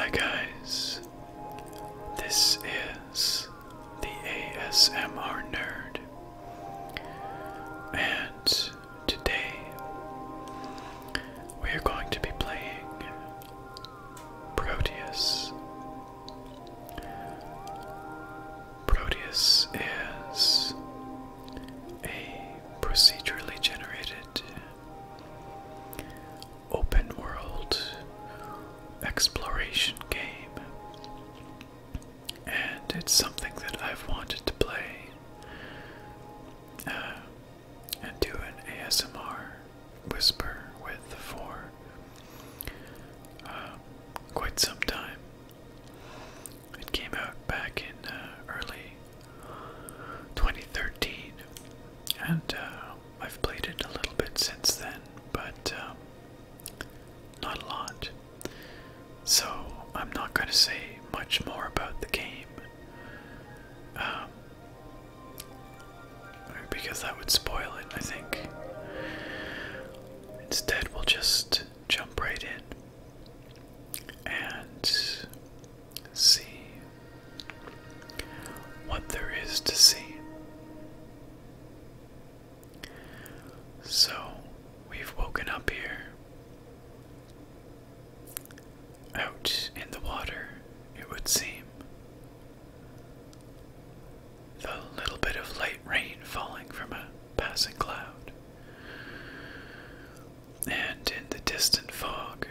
Hi guys, this is the ASMR Nerd, and today we are going to be playing Proteus. Proteus is a procedurally generated open world exploration game, and it's something that I've wanted to play. Uh, and do an ASMR whisper with for uh, quite some time. It came out back in uh, early 2013, and uh, I've played it a little bit since then, but um, not a lot. So I'm not going to say much more about the game. Um, because that would spoil it, I think. Instead, we'll just jump right in and see what there is to see. So, we've woken up here out in the water, it would seem. The little bit of light rain falling from a passing cloud. And in the distant fog,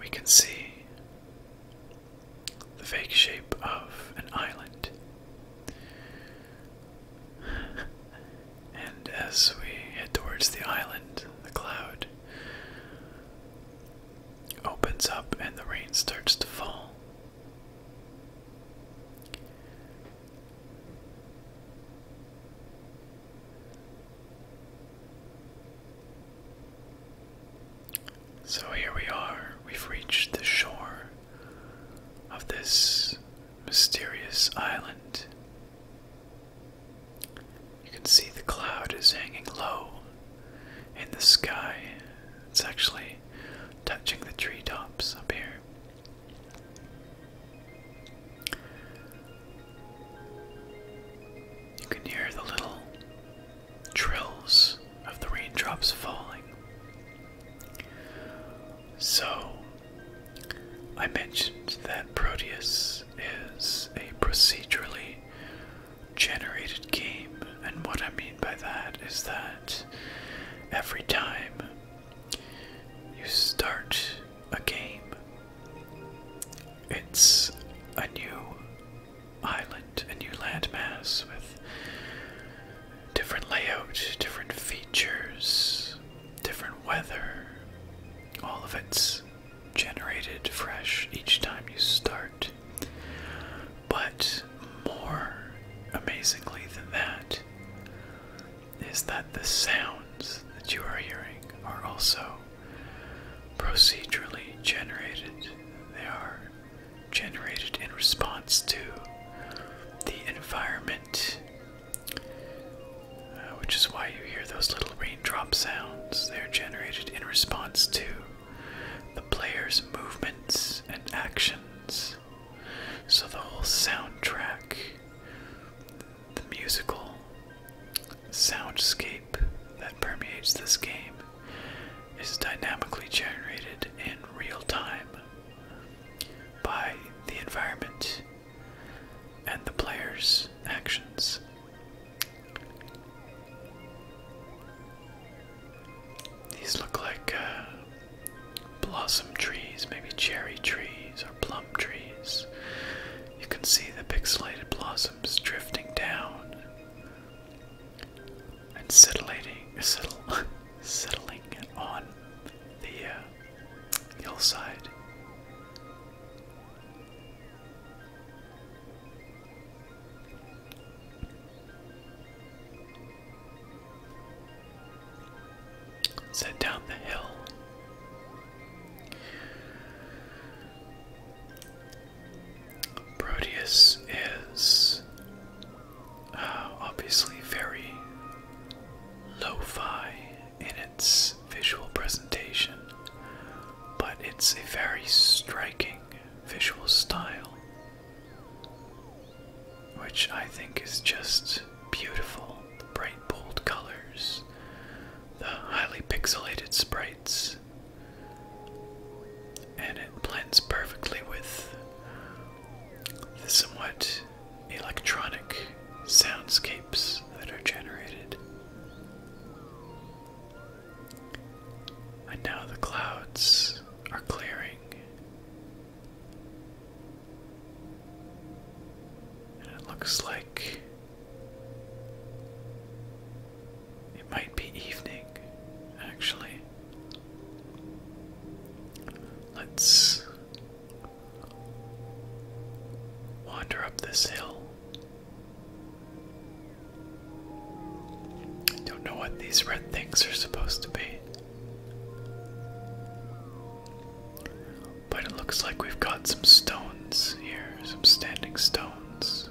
we can see the vague shape of an island. And as we head towards the island, the cloud opens up and the rain starts to fall. So here we are, we've reached the shore of this mysterious island. You can see the cloud is hanging low in the sky. It's actually touching the treetops up here. You can hear the little trills of the raindrops falling. So, I mentioned that Proteus is a procedurally generated game, and what I mean by that is that every time you start a game, it's a new island, a new landmass with different layout, different features, different weather. All of it's generated fresh each time you start. But more amazingly than that is that the sounds that you are hearing are also procedurally generated. They are generated in response to the environment uh, which is why you hear those little raindrop sounds. They're generated in response to the player's movements and actions. So the whole soundtrack, the musical soundscape that permeates this game, is dynamically generated in real time by the environment and the player's actions. These look like uh, blossom trees, maybe cherry trees or plum trees. You can see the pixelated blossoms drifting down and settling, settle, settling on the uh, hillside. Set down the hill. Proteus is uh, obviously very lo fi in its visual presentation, but it's a very striking visual style, which I think is just beautiful. The bright, bold colors, the highly pixelated sprites, and it blends perfectly with the somewhat electronic soundscapes that are generated. And now the clouds are clearing. And it looks like it might be evening, actually. Let's Wander up this hill. don't know what these red things are supposed to be. But it looks like we've got some stones here, some standing stones.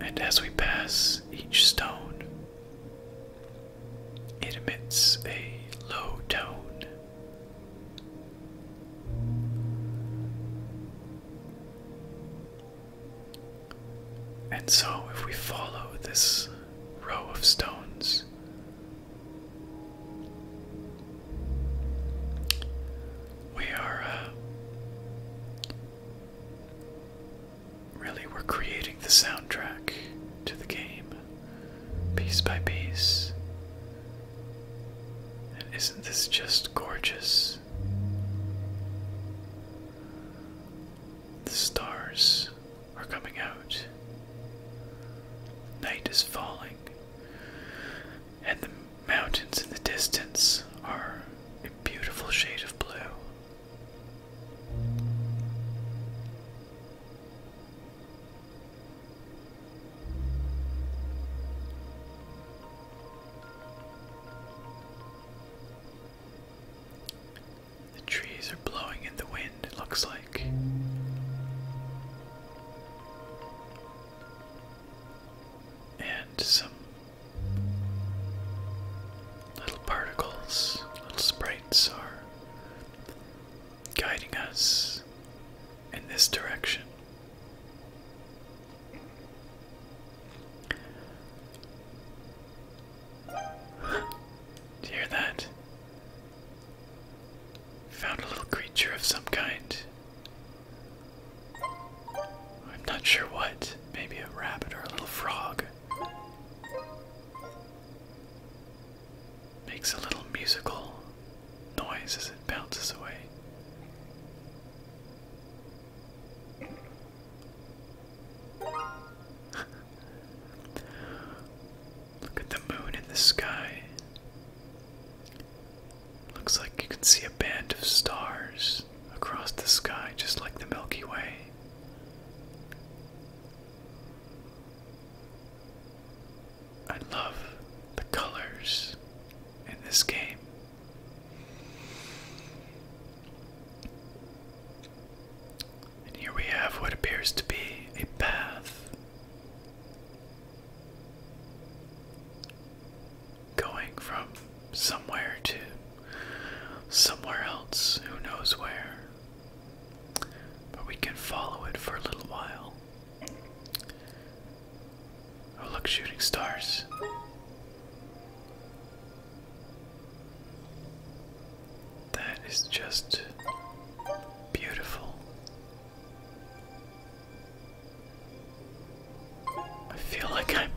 And as we pass each stone, it emits a low tone. And so, if we follow this row of stones, we are uh, Really, we're creating the soundtrack to the game, piece by piece. isn't this just gorgeous? The stars are coming out. Night is falling and the mountains in the distance are a beautiful shade of blue. The trees are blowing in the wind, it looks like. And some Little particles, little sprites are guiding us in this direction. Do you hear that? Found a little creature of some kind. I'm not sure what. Maybe a rabbit or a little frog. Makes a little musical noise as it bounces away. Look at the moon in the sky. Looks like you can see a band of stars across the sky, just like the Milky Way. I love the colors in this game. And here we have what appears to be a path going from somewhere to somewhere else, who knows where. But we can follow it for a little while. Oh, look, shooting stars. That is just beautiful. I feel like I'm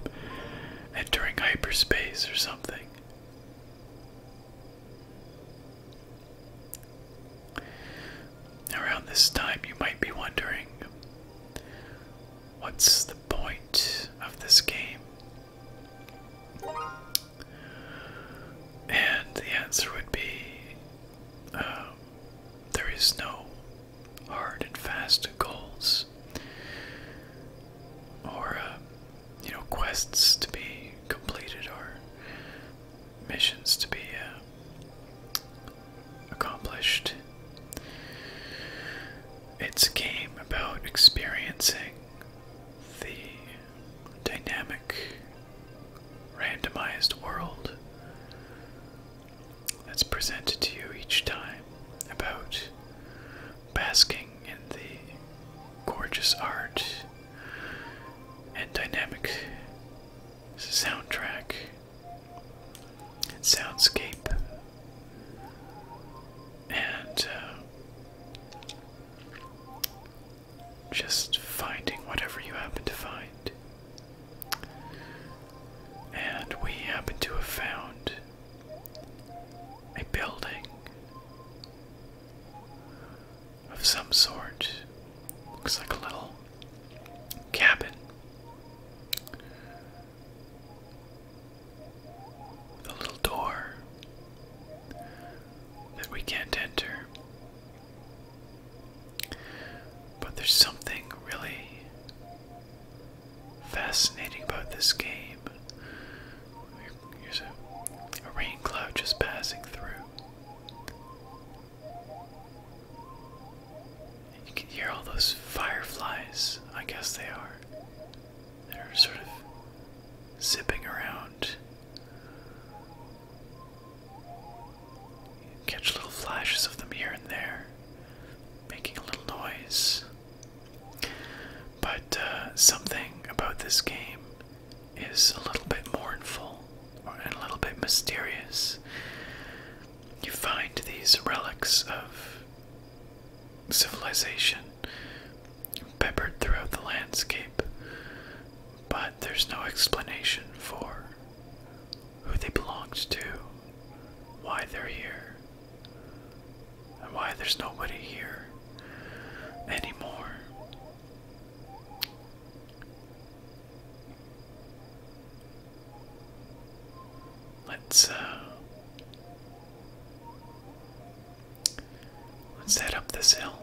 entering hyperspace or something. Around this time, you might be wondering what's the point of this game? And the answer would be um, there is no hard and fast goals or uh, you know quests to be completed or missions to be uh, accomplished. It's a game about experiencing the dynamic randomized world that's presented to you each time about basking in the gorgeous art and dynamic soundtrack and soundscape and uh, just finding whatever you happen to find. And we happen to have found a building of some sort. Looks like a little cabin. A little door that we can't enter. But there's something really fascinating about this game. Here's a, rain cloud just passing through. And you can hear all those fireflies, I guess they are, they are sort of zipping around Catch little flashes of them here and there, making a little noise. But uh, something about this game is a little bit mournful and a little bit mysterious. You find these relics of civilization peppered throughout the landscape, but there's no explanation for who they belonged to, why they're here, and why there's nobody here anymore. Let's uh, Let's head up this hill.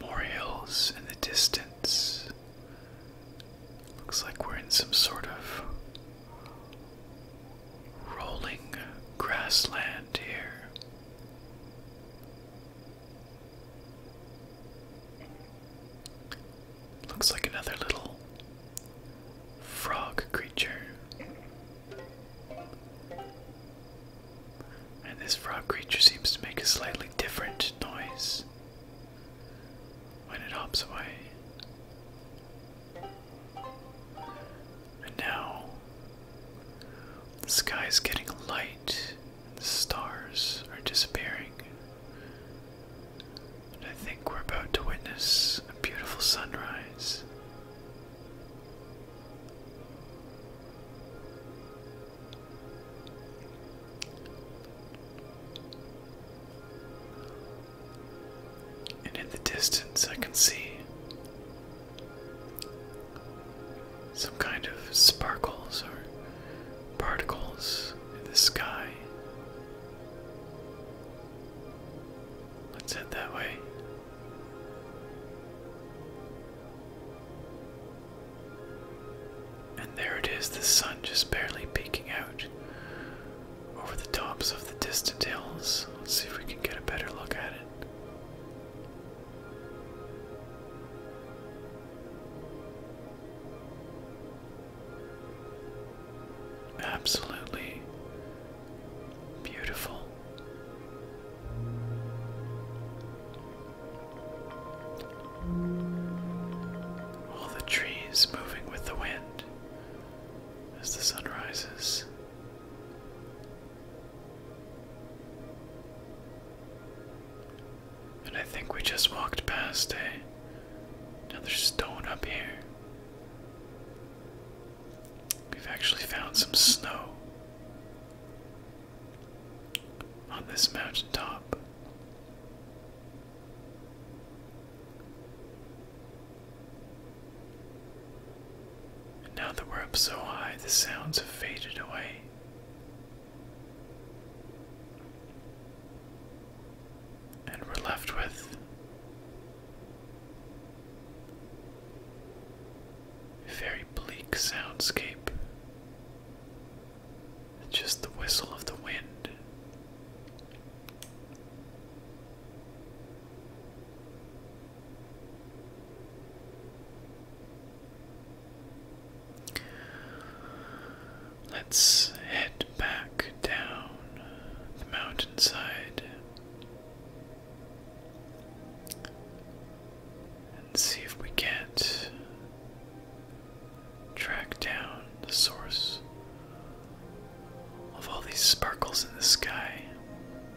More in the distance. Looks like we're in some sort of rolling grassland here. Looks like another little frog creature. And this frog creature seems to make a slightly different noise when it hops away. And now the sky is getting light, and the stars are disappearing. And I think we're about to witness a beautiful sunrise. And in the distance, I can see some kind of sparkles or particles in the sky. Let's head that way. And there it is, the sun just barely peeking out over the tops of the distant hills. Let's see if we can get a better look at it. Absolutely beautiful. All the trees moving with the wind as the sun rises. And I think we just walked past a, another stone up here. We've actually found some snow on this mountain top. And now that we're up so high, the sounds have faded away. And we're left with a very bleak soundscape. Just the whistle of the wind. Let's head back down the mountainside and see if we can't track down the source of all these sparkles in the sky.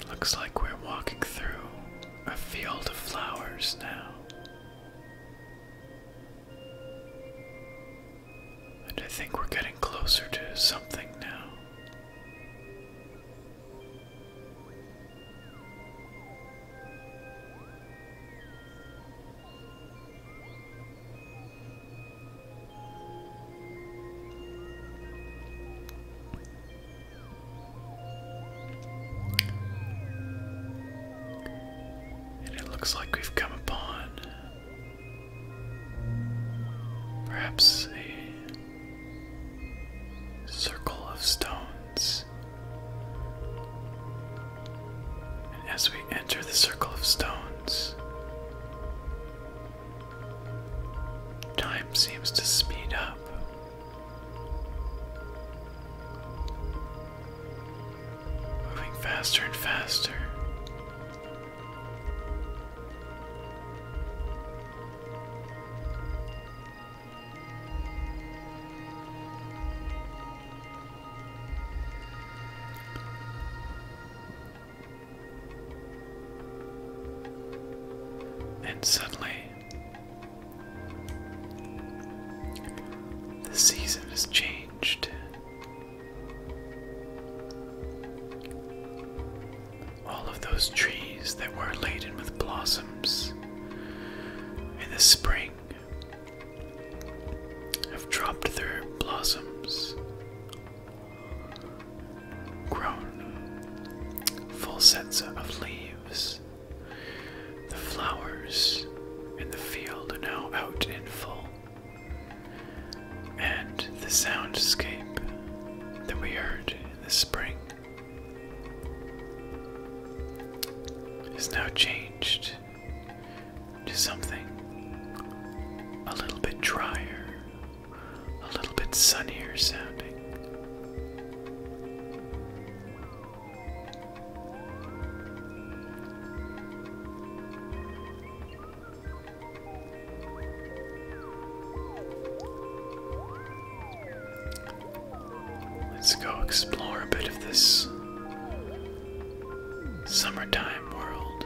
It looks like we're walking through a field of flowers now. And I think we're getting closer to something now. And it looks like we've come upon perhaps a circle of stones. And as we enter the circle of stones, Time seems to speed up. Moving faster and faster. And suddenly, the season has changed. All of those trees that were laden with blossoms in the spring have dropped their blossoms grown full sets of leaves. The flowers in the field are now out in full, and the soundscape that we heard in the spring is now changed to something a little bit drier, a little bit sunnier sounding. Let's go explore a bit of this Summertime world.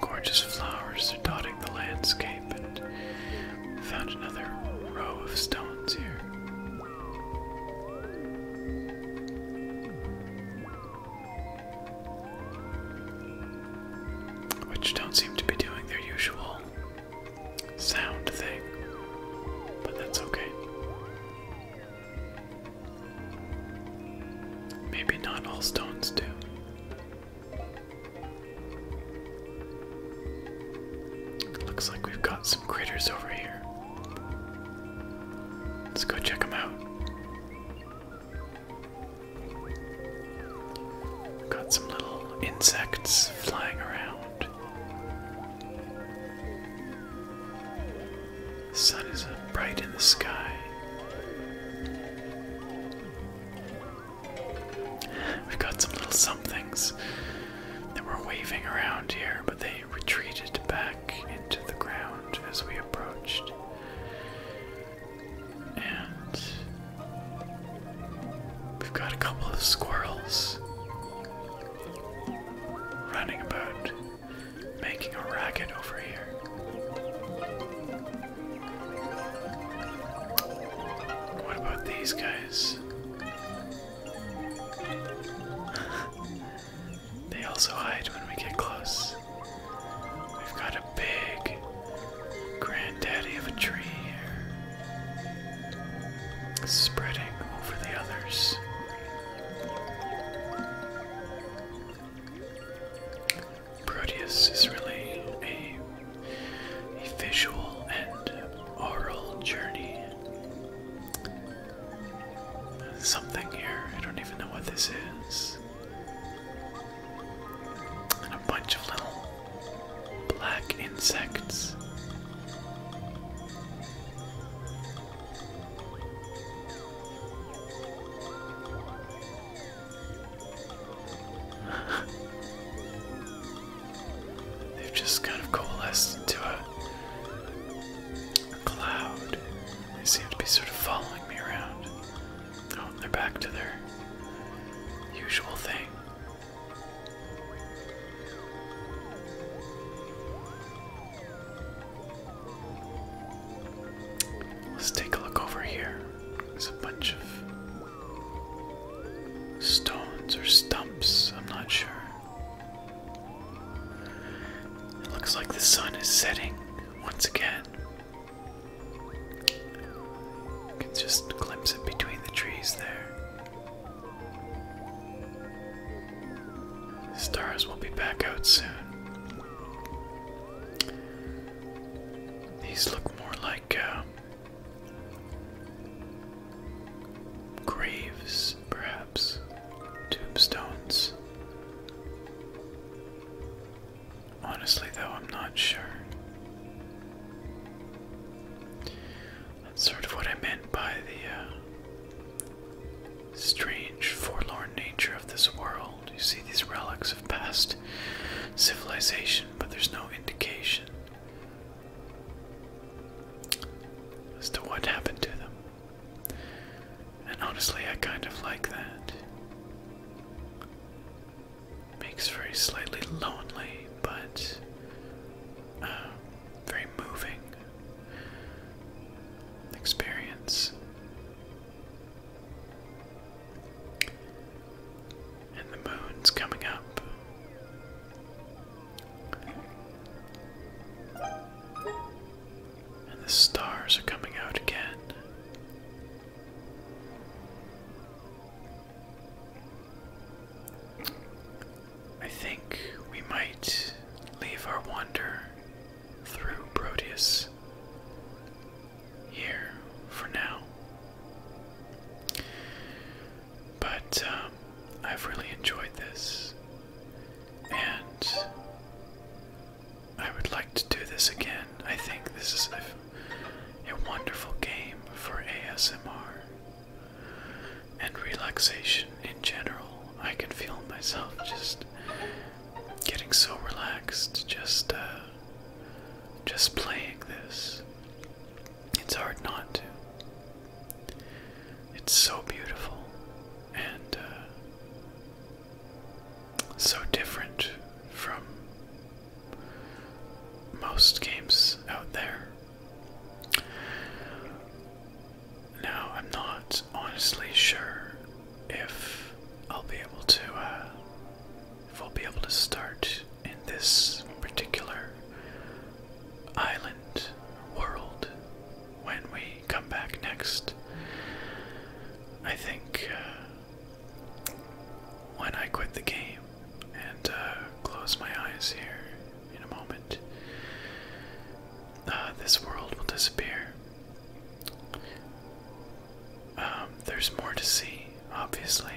Gorgeous flowers are dotting the landscape, and found another row of stones here. Which don't seem to be doing their usual sound thing, but that's okay. Maybe not all stones do. Looks like we've got some critters over here. Let's go check them out. Got some little insects flying around. sun is bright in the sky. We've got some little somethings that were waving around here, but they retreated back into the ground as we approached. And we've got a couple of squirrels running about, making a racket over here. What about these guys? They also hide when we get close. We've got a big granddaddy of a tree here, spreading over the others. Proteus is really a visual and oral journey something here. I don't even know what this is. And a bunch of little black insects. They've just kind of coalesced into a cloud. They seem to be sort of following me around. Oh, they're back to their usual thing. Let's take a look over here. There's a bunch of stones or stumps, I'm not sure. It looks like the sun is setting once again. You can just glimpse it between the trees there. stars will be back out soon. These look more like uh, graves, perhaps tombstones. Honestly, though, I'm not sure. That's sort of what I meant by the uh, strange, forlorn nature of this world. You see these relics of past civilization, but there's no indication as to what happened to them. And honestly, I kind of like that. Makes for a slightly lonely, but uh, very moving experience. And the moon's coming up. And the stars are coming out again. I think we might leave our wander through Proteus here for now. But um, I've really enjoyed this and I would like to do this again. I think this is a, wonderful game for ASMR and relaxation in general. I can feel myself just getting so relaxed just uh, just playing this. It's hard not to. It's so beautiful and uh, so different from most games out there. Now, I'm not honestly sure if I'll be able to, uh, if I'll be able to start in this particular island world when we come back next. I think uh, when I quit the game and uh, close my eyes here in a moment, uh, this world will disappear. Um, there's more to see, obviously,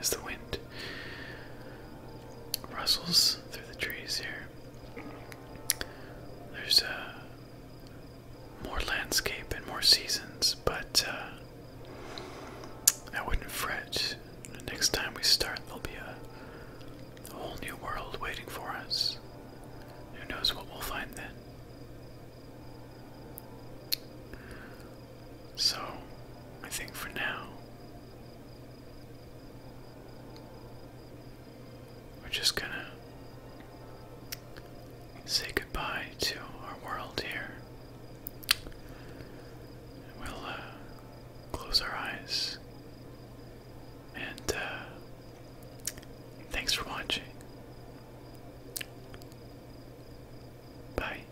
as the wind rustles through the trees here. There's uh, more landscape and more seasons, but uh, I wouldn't fret. next time we start, there'll be a, a whole new world waiting for us. Who knows what we'll find then? So, I think for now, we're just gonna say goodbye to our world here. We'll uh, close our eyes. And uh, thanks for watching. Bye.